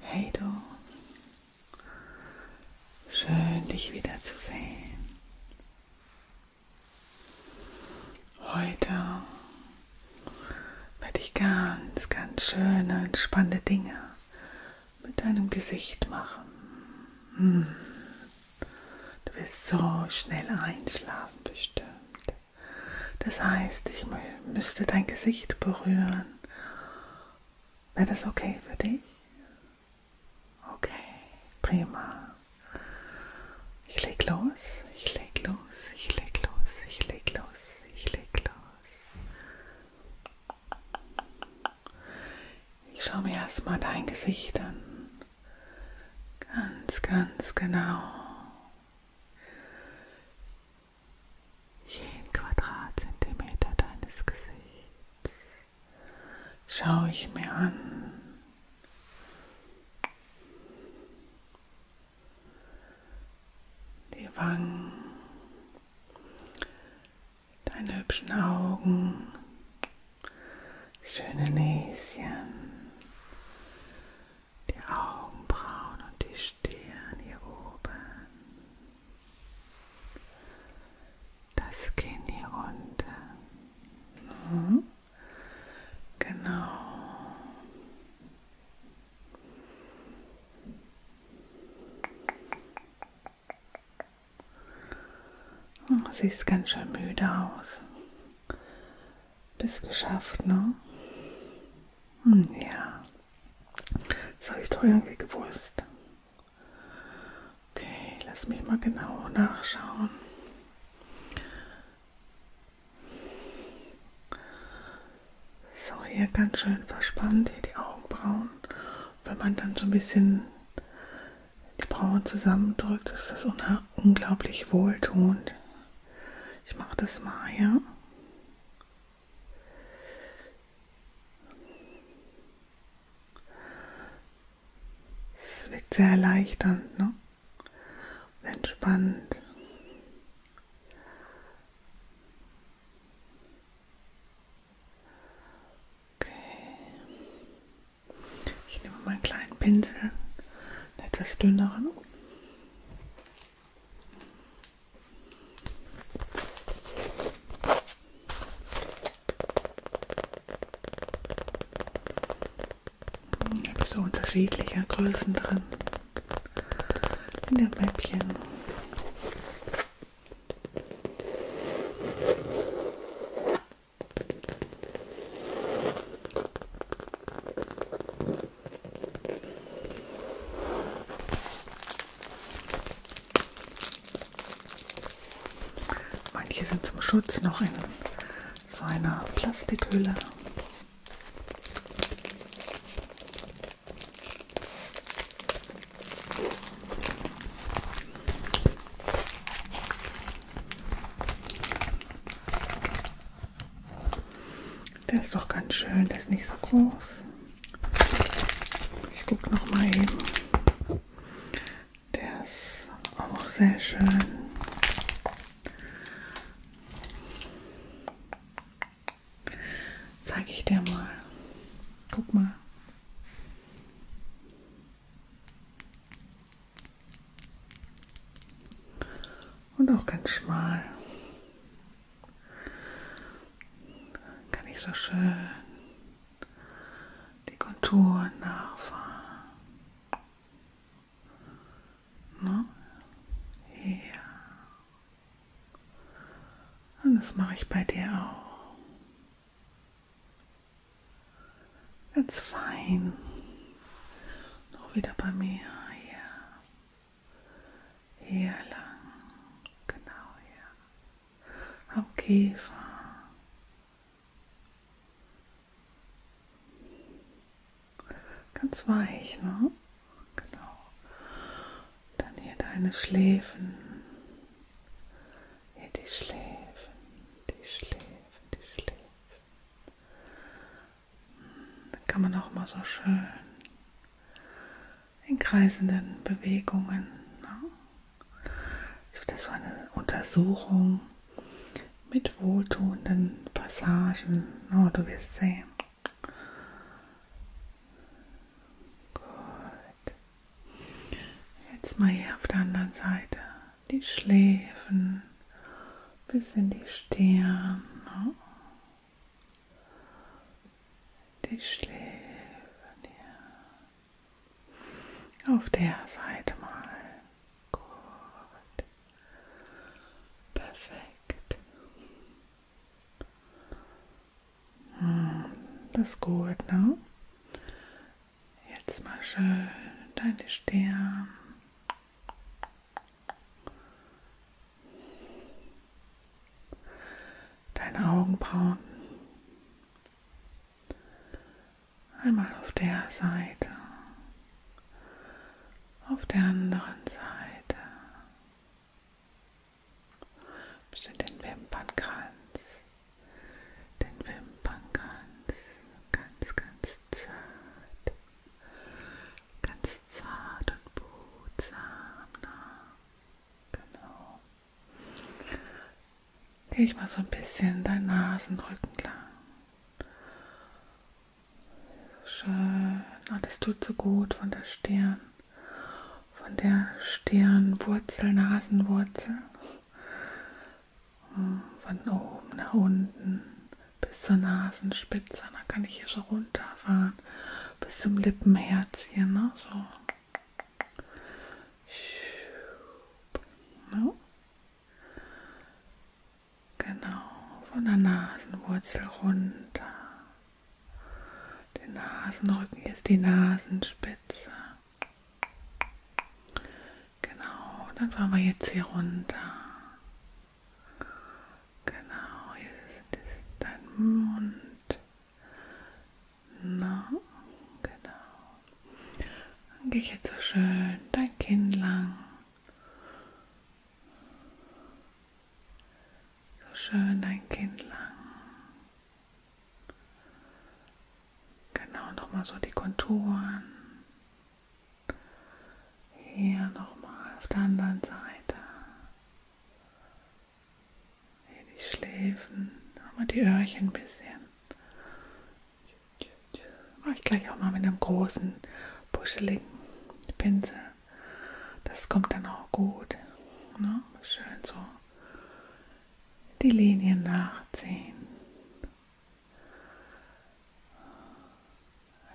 Hey du, schön dich wiederzusehen. Heute werde ich ganz, ganz schöne, entspannende Dinge mit deinem Gesicht machen. Hm. Du wirst so schnell einschlafen bestimmt. Das heißt, ich müsste dein Gesicht berühren. Wäre das okay für dich? Okay, prima. Ich leg los, ich leg los, ich leg los, ich leg los, ich leg los. Ich schaue mir erstmal dein Gesicht an. Ganz, ganz genau jeden Quadratzentimeter deines Gesichts schaue ich mir an. Die Wangen, deine hübschen Augen, schöne Näschen, die Augenbrauen und die Stirn hier oben, das Kinn hier unten. Mhm. Genau. Oh, siehst ganz schön müde aus. Bis geschafft, ne? Hm, ja. Das habe ich doch irgendwie gewusst. Okay, lass mich mal genau nachschauen. So, hier ganz schön verspannt, hier die Augenbrauen. Wenn man dann so ein bisschen die Brauen zusammendrückt, ist das unglaublich wohltuend. Ich mache das mal, ja? Es wirkt sehr erleichternd ne? und entspannend. Okay. Ich nehme mal einen kleinen Pinsel, einen etwas dünneren. Ich habe so unterschiedliche Größen drin in dem Mäppchen. Manche sind zum Schutz noch in so einer Plastikhülle. Der ist doch ganz schön, der ist nicht so groß. Ich gucke noch mal eben. Der ist auch sehr schön. Zeige ich dir mal. Guck mal. Und auch ganz schmal. Dann kann ich so schön die Konturen nachfahren. Ne? Hier. Und das mache ich bei dir auch. Ganz fein. Noch wieder bei mir. Ja. Hier lang, genau hier. Am Kiefer. Ganz weich, ne? Genau. Dann hier deine Schläfen. Hier die Schläfen, die Schläfen, die Schläfen kann man auch mal so schön in kreisenden Bewegungen. Ne? So dass so eine Untersuchung mit wohltuenden Passagen. Ne? Du wirst sehen. Gut. Jetzt mal hier auf der anderen Seite. Die Schläfen bis in die Stirn. Ne? die Schläfen hier. Auf der Seite mal. Gut. Perfekt. Hm, das ist gut, ne? Jetzt mal schön deine Stirn deine Augenbrauen. Einmal auf der Seite, auf der anderen Seite, bis in den Wimpernkranz, den Wimpernkranz, ganz, ganz zart, ganz zart und behutsam. Na? Ne? Genau. Gehe ich mal so ein bisschen dein Nasenrücken lang. Schön. Oh, das tut so gut von der Stirn. Von der Stirnwurzel, Nasenwurzel. Hm, von oben nach unten bis zur Nasenspitze. Dann kann ich hier so runterfahren bis zum Lippenherz hier, ne? So. No? Genau, von der Nasenwurzel runter. Den Nasenrücken hier ist die Nasenspitze. Genau, dann fahren wir jetzt hier runter. Genau, hier ist dein Mund. Na, genau. Dann gehe ich jetzt so schön dein Kinn lang. So schön dein Kinn lang. Genau, nochmal so die Konturen. Hier nochmal auf der anderen Seite die Schläfen, aber die Öhrchen ein bisschen. Mache ich gleich auch mal mit einem großen, puscheligen Pinsel. Das kommt dann auch gut. Ne? Schön so die Linien nachziehen.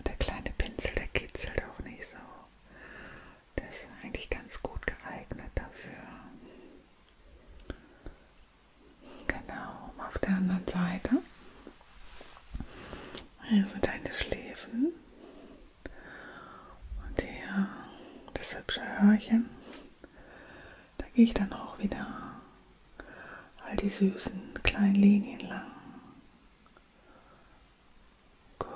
Der kleine Pinsel, der kitzelt auch nicht so. Der ist eigentlich ganz gut geeignet dafür. Genau, auf der anderen Seite. Hier sind deine Schläfen. Und hier das hübsche Hörchen. Da gehe ich dann auch wieder all die süßen kleinen Linien lang. Gut.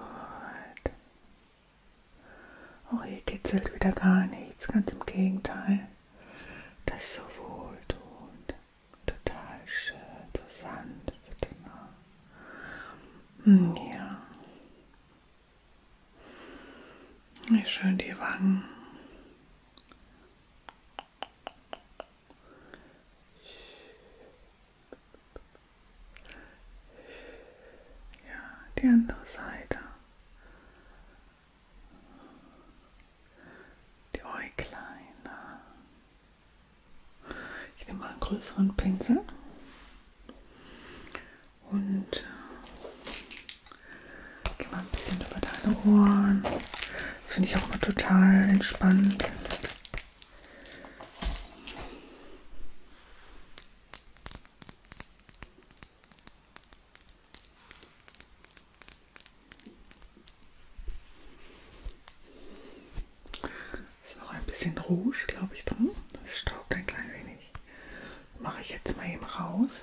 Auch hier kitzelt wieder gar nichts, ganz im Gegenteil. Das ist so wohltuend, total schön, so sanft. Ne? Ja. Wie schön die Wangen. Ja, die andere Seite. Die Äuglein. Ich nehme mal einen größeren Pinsel und äh, gehe mal ein bisschen über deine Ohren. Das finde ich auch immer total entspannt. Ist noch ein bisschen Rouge, glaube ich, drin. Das staubt ein klein wenig. Mache ich jetzt mal eben raus.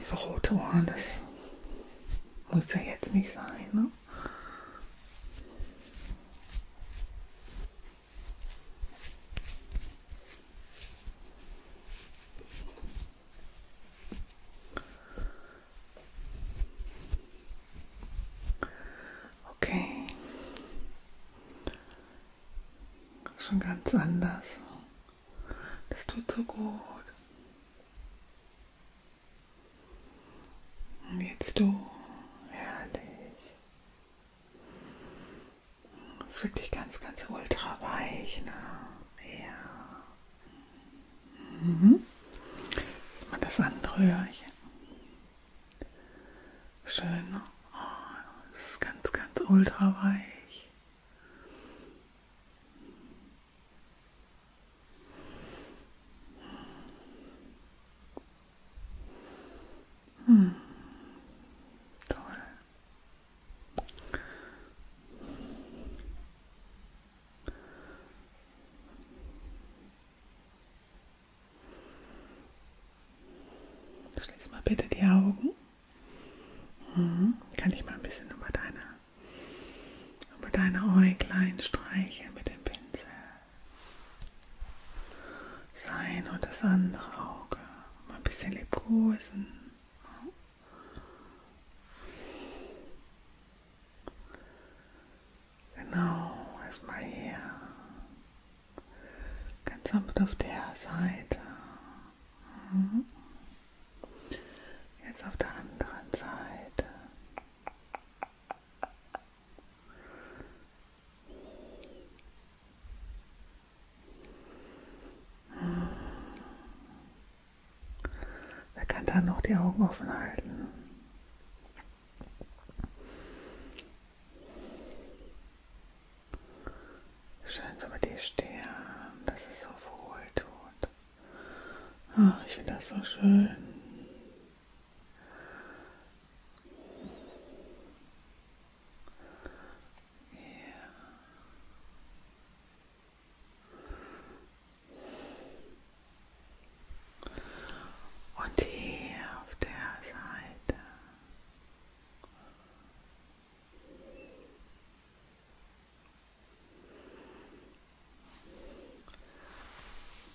So rote Ohren, das muss ja jetzt nicht sein. Ne? Okay. Schon ganz anders. Das tut so gut. Und jetzt du. Herrlich. Ist wirklich ganz, ganz ultra weich. Ne? Ja. Mhm. Ist mal das andere Öhrchen. Schön. Ne? Oh, das ist ganz, ganz ultra weich. Hm. Toll. Schließ mal bitte die Augen. Hm. Kann ich mal ein bisschen über deine, über deine Äuglein streichen mit dem Pinsel? sein und das andere Auge. Mal ein bisschen liebkosen. Genau, erstmal hier. Ganz sanft auf der Seite. Mhm. Jetzt auf der anderen Seite. Er kann dann noch die Augen offen halten. Schön so mit die Stirn, das ist so wohltuend. Ach, ich finde das so schön. Ja. Und hier auf der Seite.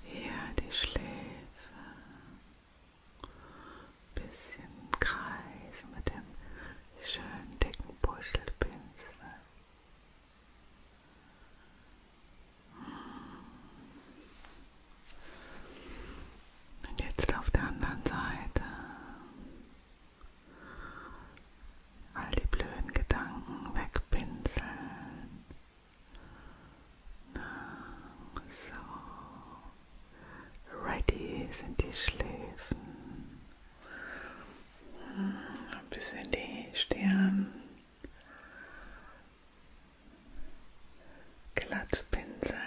Hier die Schläfe bisschen kreisen mit dem schönen dicken Puschelpinsel. Und jetzt auf der anderen Seite all die blöden Gedanken wegpinseln. So. Ready sind die Schläfen. Ein bisschen die Stirn. Glattpinsel,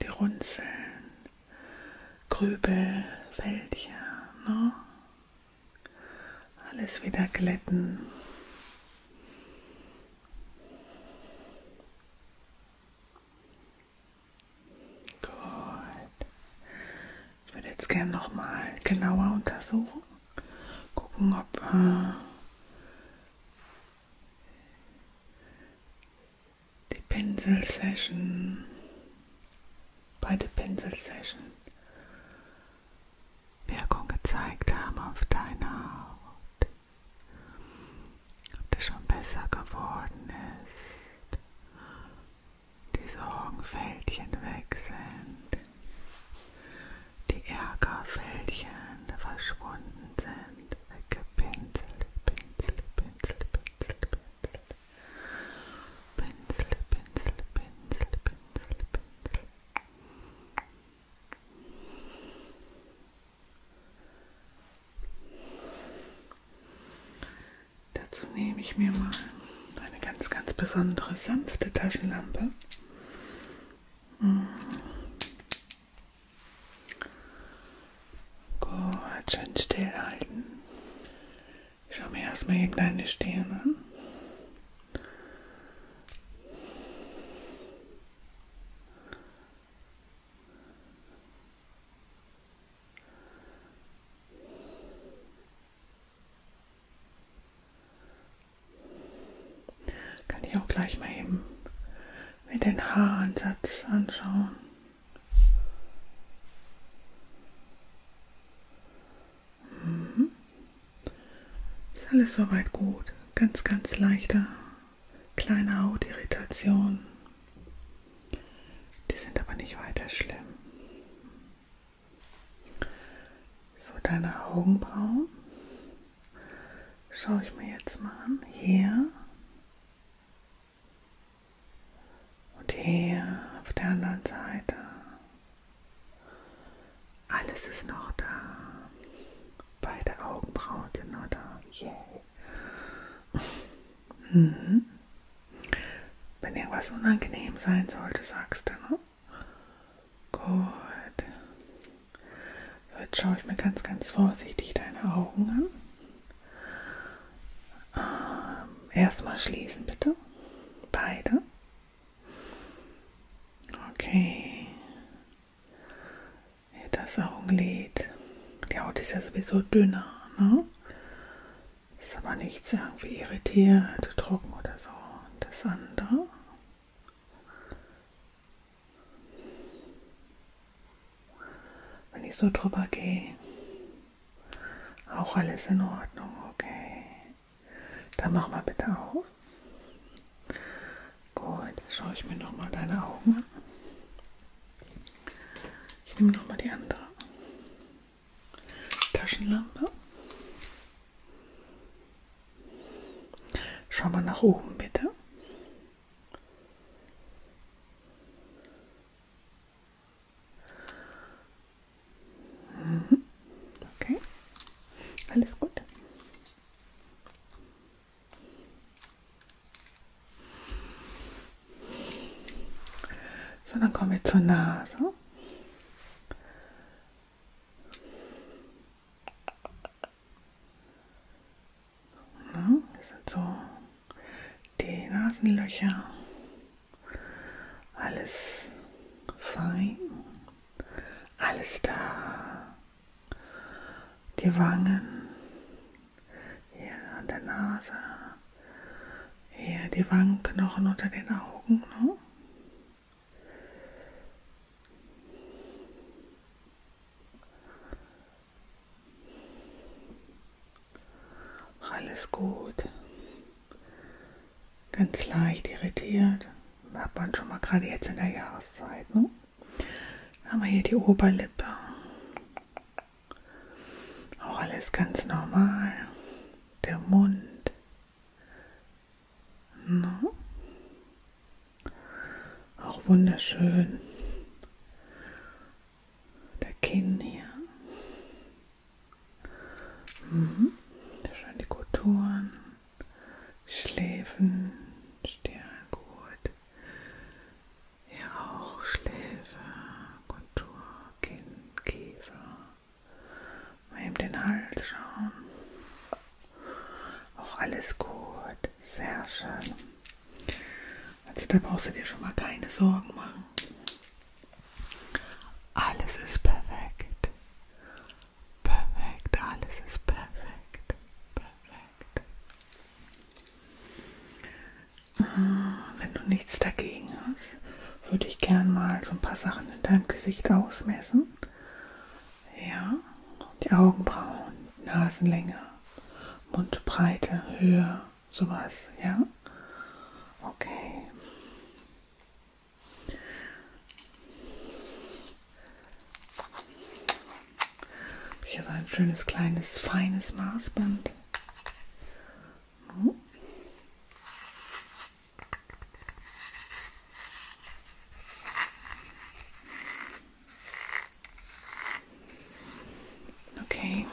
die Runzeln, Grübel, Fältchen, ne? Alles wieder glätten. Gut. Ich würde jetzt gerne nochmal genauer untersuchen. Gucken, ob äh, die Pinsel Session bei der Pinsel Session Wirkung gezeigt haben auf deiner Haut ob das schon besser geworden ist, die Sorgenfältchen weg sind, die Ärgerfältchen verschwunden sind, weggepinselt, Pinsel, Pinsel, Pinsel, Pinsel, Pinsel, Pinsel, Pinsel, Pinsel, Pinsel. Dazu nehme ich mir mal eine ganz, ganz besondere sanfte Taschenlampe. Hm. Gut, schön stillhalten. Ich schaue mir erstmal eben deine Stirn an. Kann ich auch gleich mal eben mit den Haaransatz anschauen. Mhm. Ist alles soweit gut. Ganz, ganz leichter kleine Hautirritationen. Die sind aber nicht weiter schlimm. So, deine Augenbrauen schaue ich mir jetzt mal an. Hier und hier auf der anderen Seite. Alles ist noch da. Beide Augenbrauen genau da. Yay. Yeah. Mhm. Wenn irgendwas unangenehm sein sollte, sagst du, ne? Gut. So, jetzt schaue ich mir ganz, ganz vorsichtig deine Augen an. Ähm, Erstmal schließen, bitte. Beide. Okay ja, das Augenlid. Die Haut ist ja sowieso dünner, ne? Ist aber nichts irgendwie irritiert, trocken oder so. Und das andere. Wenn ich so drüber gehe, auch alles in Ordnung, okay. Dann mach mal bitte auf. Gut, schaue ich mir nochmal deine Augen an. Ich nehme nochmal die andere Taschenlampe. Schau mal nach oben, bitte. Mhm. Okay, alles gut. So, dann kommen wir zur Nase. Na, das sind so die Nasenlöcher. Alles fein. Alles da die Wangen, hier an der Nase, hier die Wangenknochen unter den Augen. Ne? Alles gut. Ganz leicht irritiert. Hat man schon mal gerade jetzt in der Jahreszeit. Ne? Dann haben wir hier die Oberlippe. Auch alles ganz normal. Der Mund. Na? Ne? Auch wunderschön. Der Kinn hier. Mhm. Schön die Kulturen. Schläfen, Stirn, gut. Hier auch Schläfe, Kontur, Kinn, Kiefer. Mal eben den Hals schauen. Auch alles gut. Sehr schön. Also da brauchst du dir schon mal keine Sorgen machen. Alles ist perfekt. Perfekt, alles ist perfekt. Perfekt. Ah, wenn du nichts dagegen hast, würde ich gern mal so ein paar Sachen in deinem Gesicht ausmessen. Ja, die Augenbrauen, Nasenlänge, Mundbreite, Höhe, sowas, ja? Okay. Hier so ein schönes, kleines, feines Maßband. Okay.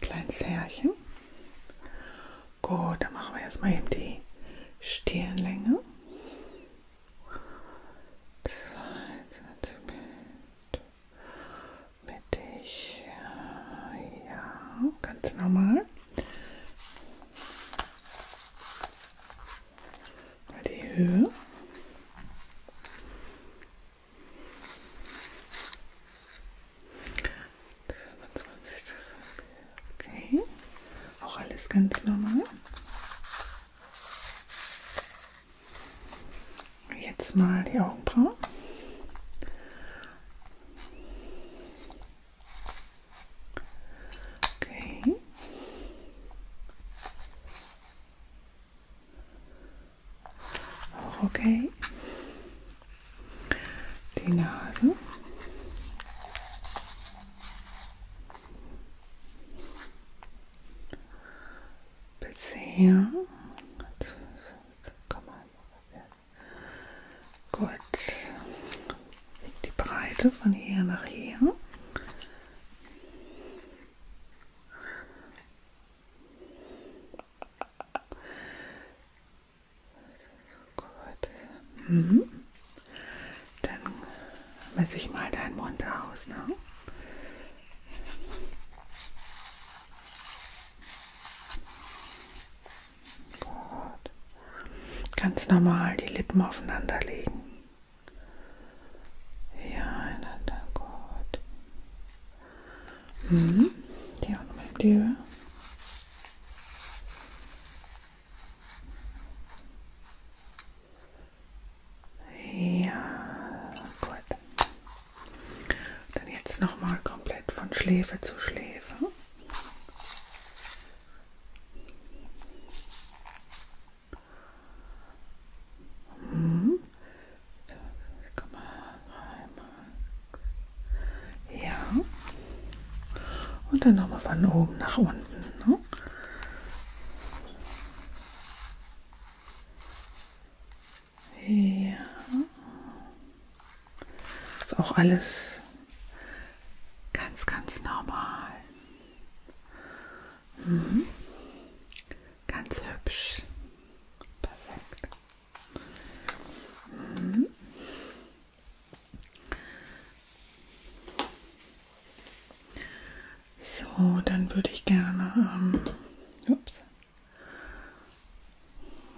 Kleines Härchen. Gut, dann machen wir erstmal eben die Stirnlänge. Zwei Zentimeter mittig. Ja, ganz normal. Mal die Höhe. Okay, auch alles ganz normal. Jetzt mal die Augenbrauen. Okay. Auch okay. Die Nase. Bis hier. Komm mal. Gut. Die Breite von hier nach hier. Gut. Mhm. Dann messe ich mal deinen Mund aus, ne? Gut. Ganz normal die Lippen aufeinander legen. Ja, einander gut. Mhm. Die auch nochmal in die Höhe. Ja, gut. Dann jetzt nochmal komplett von Schläfe zu Schläfe. Mhm. Ja. Und dann nochmal von oben nach unten. Ne? Ja. Ist auch alles ganz, ganz normal. Mhm. Ganz hübsch. Perfekt. Mhm. So, dann würde ich gerne ähm, ups,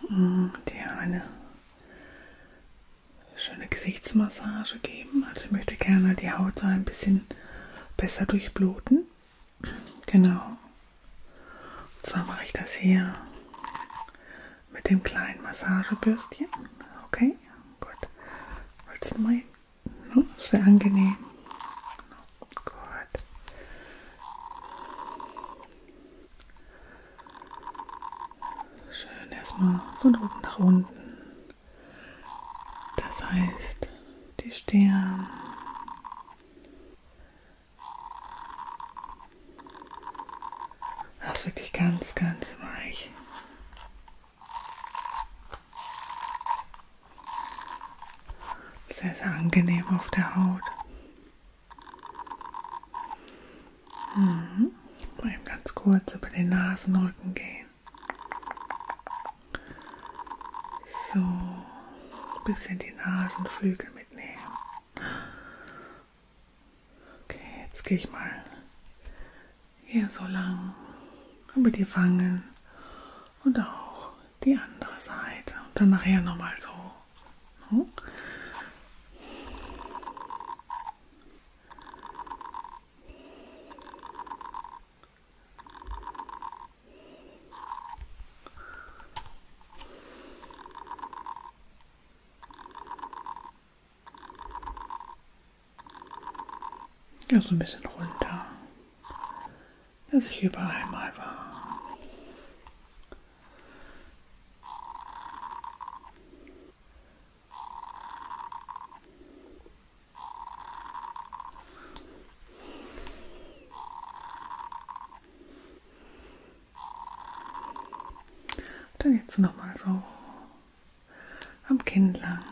mm, dir eine schöne Gesichtsmassage geben. Also ich möchte gerne die Haut so ein bisschen besser durchbluten. Genau. Und zwar mache ich das hier mit dem kleinen Massagebürstchen. Okay, gut. Jetzt mal, ne? sehr angenehm. Gut. Schön erstmal von oben nach unten. Das heißt, die Stirn, das ist wirklich ganz, ganz weich. Sehr, sehr angenehm auf der Haut. Mhm. Mal eben ganz kurz über den Nasenrücken gehen. So, ein bisschen die Nasenflügel mitnehmen. Okay, jetzt gehe ich mal hier so lang über die Wangen und auch die andere Seite und dann nachher nochmal so. No? Ne? Ja, so ein bisschen runter, dass ich überall mal war. Dann jetzt nochmal so am Kinn lang.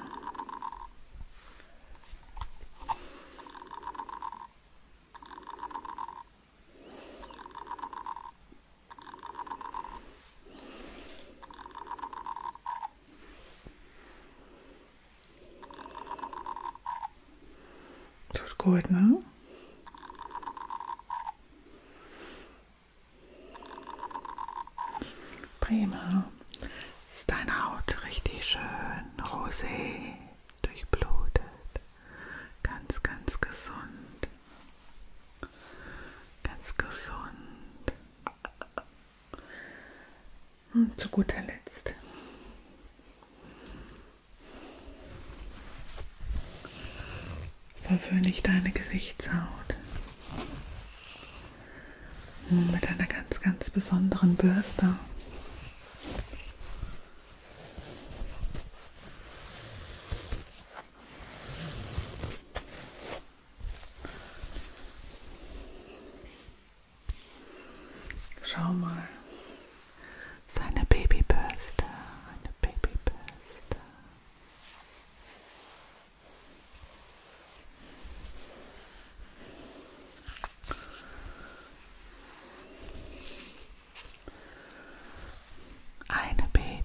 Tut gut, ne? Prima. Ist deine Haut richtig schön rosé, durchblutet, ganz, ganz gesund, ganz gesund. Und hm, zu guter Letzt Verwöhne ich deine Gesichtshaut. Nun mit einer ganz, ganz besonderen Bürste. Schau mal, Seine Babybürste, eine Babybürste. Eine Babybürste.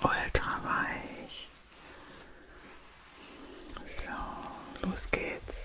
Ultra weich. So, los geht's.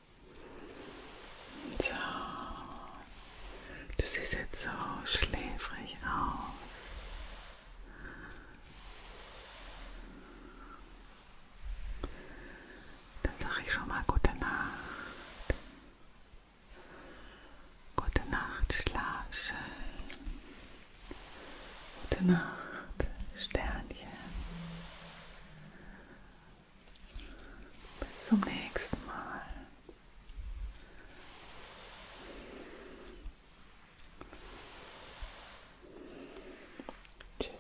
So, du siehst jetzt so schläfrig aus. Dann sage ich schon mal gute Nacht. Gute Nacht, schlaf schön. Gute Nacht, Sternchen. Bis zum nächsten Mal. Tschüss.